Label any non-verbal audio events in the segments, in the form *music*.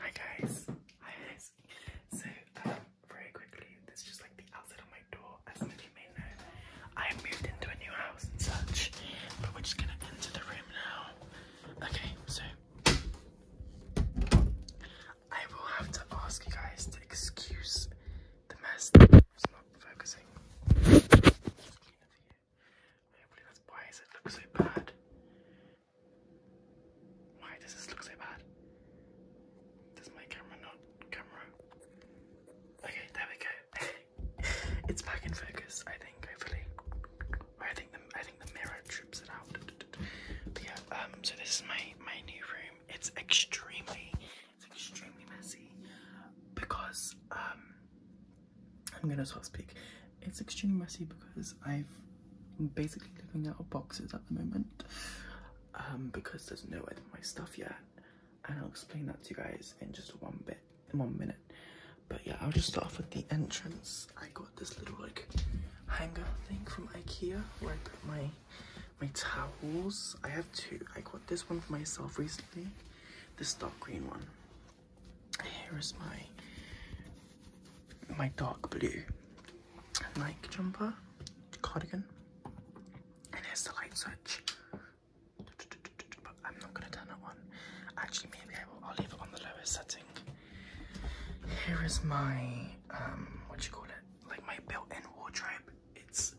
Hi guys, hi guys. So um, very quickly, this is just like the outside of my door. I moved into a new house and such, but we're just gonna enter the room now. Okay, so I will have to ask you guys to excuse the mess why does it look so bad? Why does this look so bad? Does my camera not camera? Okay, there we go. *laughs* it's back in focus, I think, hopefully. I think the I think the mirror trips it out. But yeah, um so this is my my new room. It's extremely it's extremely messy because um I'm gonna start speak. It's extremely messy because I've am basically living out of boxes at the moment um, because there's nowhere to my stuff yet, and I'll explain that to you guys in just one bit, in one minute. But yeah, I'll just start off with the entrance. I got this little like hanger thing from IKEA where I put my my towels. I have two. I got this one for myself recently, this dark green one, here is my my dark blue Nike jumper, cardigan, and here's the light switch. I'm not gonna turn it on. Actually, maybe I will. I'll leave it on the lowest setting. Here is my um, what you call it? Like my built-in wardrobe. It's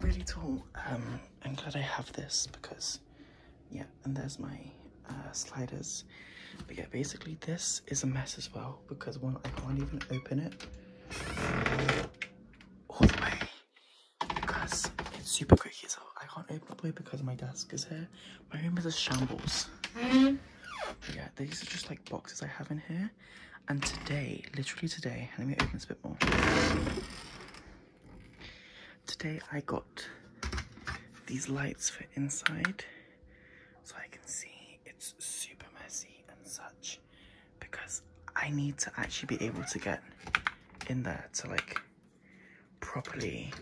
really tall. Um, I'm glad I have this because yeah, and there's my uh, sliders. But yeah, basically this is a mess as well because one, I can't even open it all the way because it's super creaky. So I can't open it all the way because my desk is here. My room is a shambles. yeah, these are just like boxes I have in here. And today, literally today, let me open this a bit more. Today I got these lights for inside so I can see it's super messy and such because I need to actually be able to get in there to like properly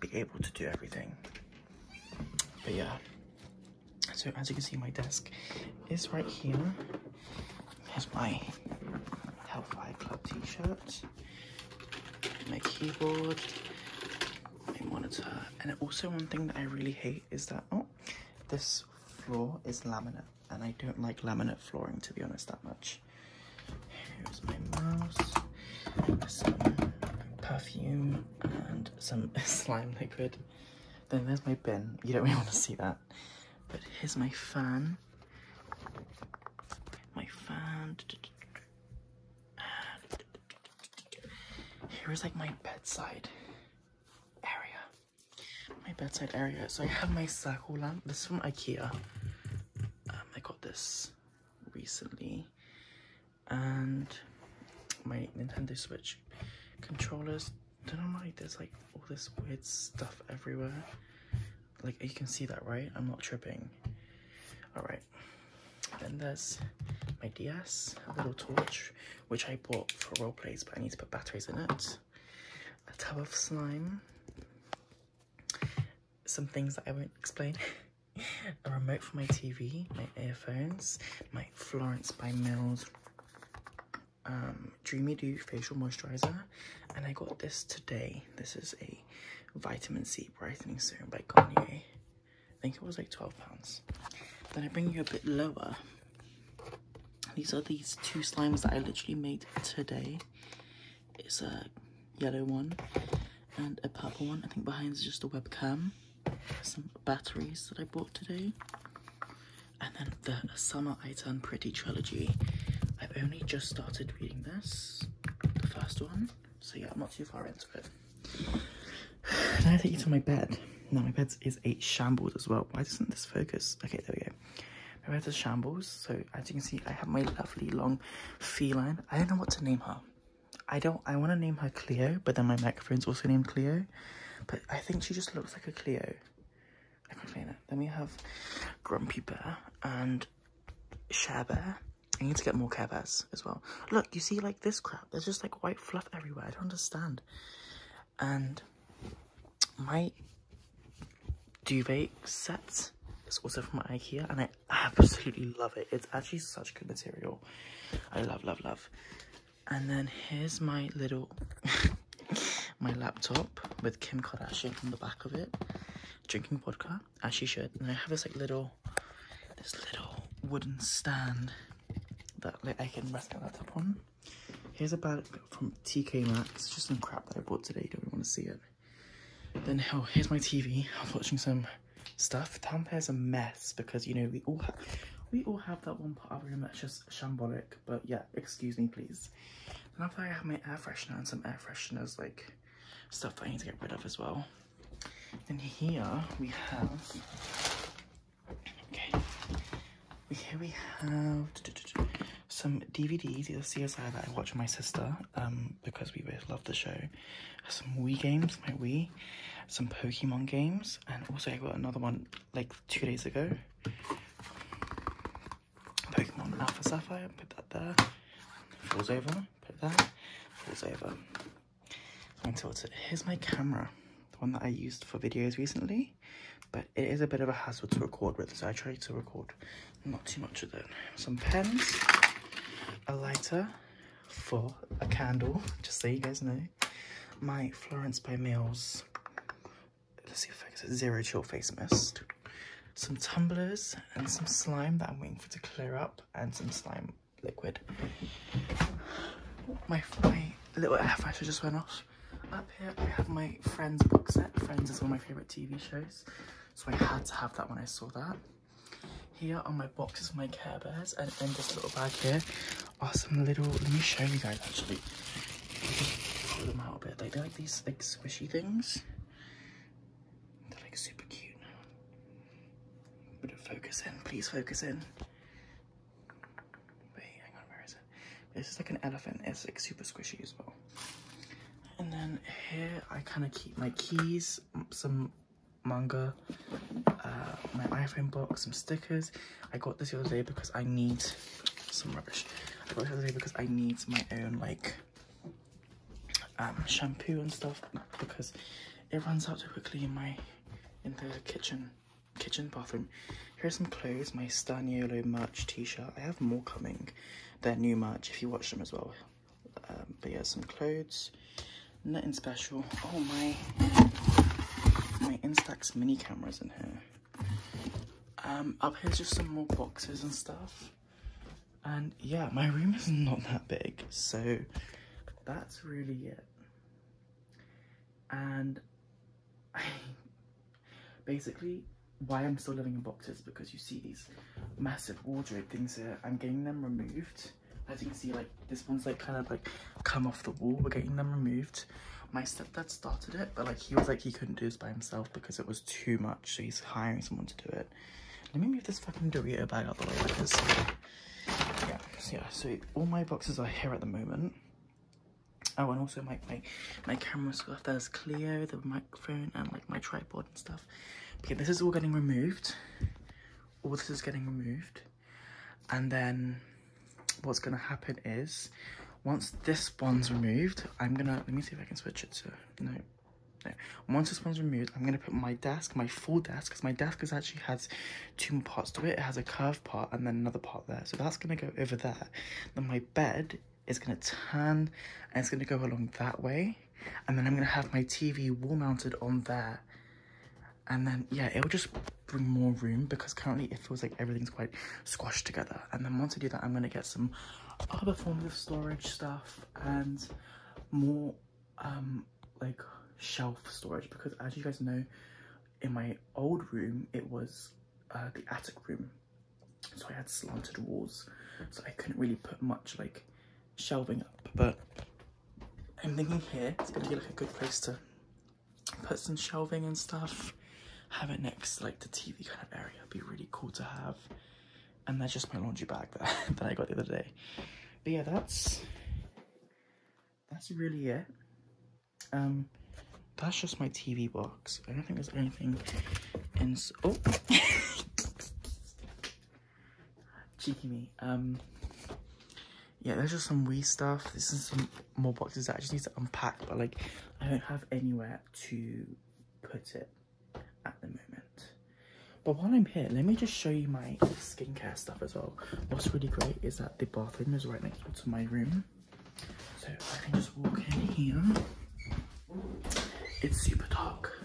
be able to do everything. But yeah, so as you can see my desk is right here. There's my Hellfire Club t-shirt my keyboard, my monitor. And also one thing that I really hate is that, oh, this floor is laminate. And I don't like laminate flooring, to be honest, that much. Here's my mouse, some perfume, and some *laughs* slime liquid. Then there's my bin. You don't really want to see that. But here's my fan. My fan. And here's like my bedside area. My bedside area. So I have my Saku lamp. This is from Ikea. Um, I got this recently. And my Nintendo Switch controllers. Don't know why there's like all this weird stuff everywhere. Like, you can see that, right? I'm not tripping. All right. Then there's my DS, a little torch, which I bought for role plays, but I need to put batteries in it. A tub of slime. Some things that I won't explain. *laughs* a remote for my TV, my earphones, my Florence by Mills um, Dreamy Do facial moisturizer. And I got this today. This is a vitamin C brightening serum by Garnier. I think it was like 12 pounds. Then I bring you a bit lower. These are these two slimes that I literally made today. It's a yellow one and a purple one. I think behind is just a webcam. Some batteries that I bought today. And then the Summer I Turn Pretty trilogy. I've only just started reading this the first one. So yeah, I'm not too far into it. *sighs* Now take you to my bed. Now my bed is a shambles as well. Why doesn't this focus? Okay, there we go. My bed is shambles. So as you can see, I have my lovely long feline. I don't know what to name her. I don't. I want to name her Cleo, but then my microphone's also named Cleo. But I think she just looks like a Cleo. I can it. Then we have Grumpy Bear, and Share I need to get more Care Bears as well. Look, you see, like, this crap. There's just, like, white fluff everywhere. I don't understand. And my duvet set is also from Ikea, and I absolutely love it. It's actually such good material. I love, love, love. And then here's my little... *laughs* my laptop with Kim Kardashian on the back of it, drinking vodka as she should. And I have this like little, this little wooden stand that I can rest my laptop on. Here's a bag from TK Maxx, just some crap that I bought today, don't want to see it. Then, oh, here's my TV, I was watching some stuff. Down is a mess because, you know, we all have, we all have that one part of our room that's just shambolic, but yeah, excuse me, please. And after I have my air freshener and some air fresheners, like, stuff that I need to get rid of as well. And here we have, okay, here we have some DVDs, either CSI that I watch with my sister, um, because we both love the show, some Wii games, my Wii, some Pokemon games, and also I got another one like two days ago. Pokemon Alpha Sapphire, put that there. Falls over, put that. Falls over. I'm tilted. Here's my camera, the one that I used for videos recently. But it is a bit of a hassle to record with, so I try to record not too much of it. Some pens, a lighter for a candle, just so you guys know. My Florence by Mills, let's see if I can zero chill face mist some tumblers and some slime that I'm waiting for to clear up and some slime liquid. My, my little eyeshadow just went off. Up here I have my Friends box set. Friends is one of my favourite TV shows. So I had to have that when I saw that. Here are my boxes for my Care Bears and in this little bag here are some little, let me show you guys actually. Pull them a bit. They are like these thick squishy things. They're like super cute now. But focus in, please focus in. Wait, hang on, where is it? This is like an elephant. It's like super squishy as well. And then here I kind of keep my keys, some manga, uh, my iPhone box, some stickers. I got this the other day because I need some rubbish. I got this the other day because I need my own like um, shampoo and stuff because it runs out too quickly in my in the kitchen kitchen bathroom. Here's some clothes, my Staniolo merch t-shirt. I have more coming. They're new merch if you watch them as well. Um, but yeah, some clothes. Nothing special. Oh my my Instax mini cameras in here. Um, up here's just some more boxes and stuff. And yeah, my room is not that big, so that's really it. And I, *laughs* basically, why I'm still living in boxes because you see these massive wardrobe things here. I'm getting them removed. As you can see, like this one's like kind of like come off the wall. We're getting them removed. My stepdad started it, but like he was like he couldn't do this by himself because it was too much. So he's hiring someone to do it. Let me move this fucking Dorito bag out of the way because yeah, so all my boxes are here at the moment. Oh, and also make my, my camera stuff. There's clear, the microphone, and like my tripod and stuff. Okay, this is all getting removed. All this is getting removed, and then what's gonna happen is once this one's removed, I'm gonna let me see if I can switch it So no. Now, once this one's removed, I'm going to put my desk, my full desk, because my desk is actually has two parts to it. It has a curved part and then another part there. So that's going to go over there. Then my bed is going to turn and it's going to go along that way. And then I'm going to have my TV wall mounted on there. And then, yeah, it will just bring more room because currently it feels like everything's quite squashed together. And then once I do that, I'm going to get some other forms of storage stuff and more um, like shelf storage because as you guys know in my old room it was uh, the attic room so i had slanted walls so i couldn't really put much like shelving up but i'm thinking here it's gonna be like a good place to put some shelving and stuff have it next like the tv kind of area would be really cool to have and that's just my laundry bag that, *laughs* that I got the other day. But yeah, that's that's really it. Um, that's just my TV box. I don't think there's anything in. Oh, *laughs* cheeky me. Um, yeah, there's just some wee stuff. This is some more boxes that I just need to unpack, but like I don't have anywhere to put it at the moment. But while I'm here, let me just show you my skincare stuff as well. What's really great is that the bathroom is right next to my room. So I can just walk in here. It's super dark.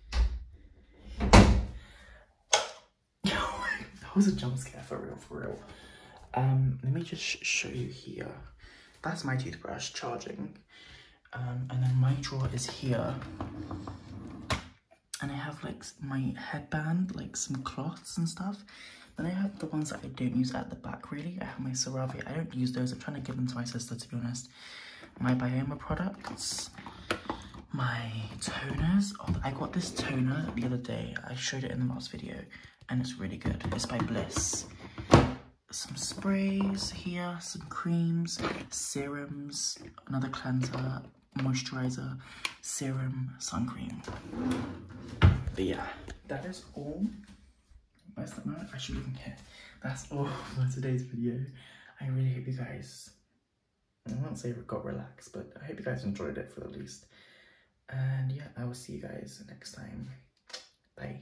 *laughs* that was a jump scare for real, for real. Um, let me just show you here. That's my toothbrush charging. Um, and then my drawer is here. And I have like my headband, like some cloths and stuff. Then I have the ones that I don't use at the back really. I have my CeraVe. I don't use those. I'm trying to give them to my sister to be honest. My Bioma products. My toners. Oh, I got this toner the other day. I showed it in the last video and it's really good. It's by Bliss some sprays here, some creams, serums, another cleanser, moisturizer, serum, sun cream. But yeah, that is all. That's the moment I should even care. That's all *laughs* for today's video. I really hope you guys, I won't say got relaxed, but I hope you guys enjoyed it for the least. And yeah, I will see you guys next time. Bye.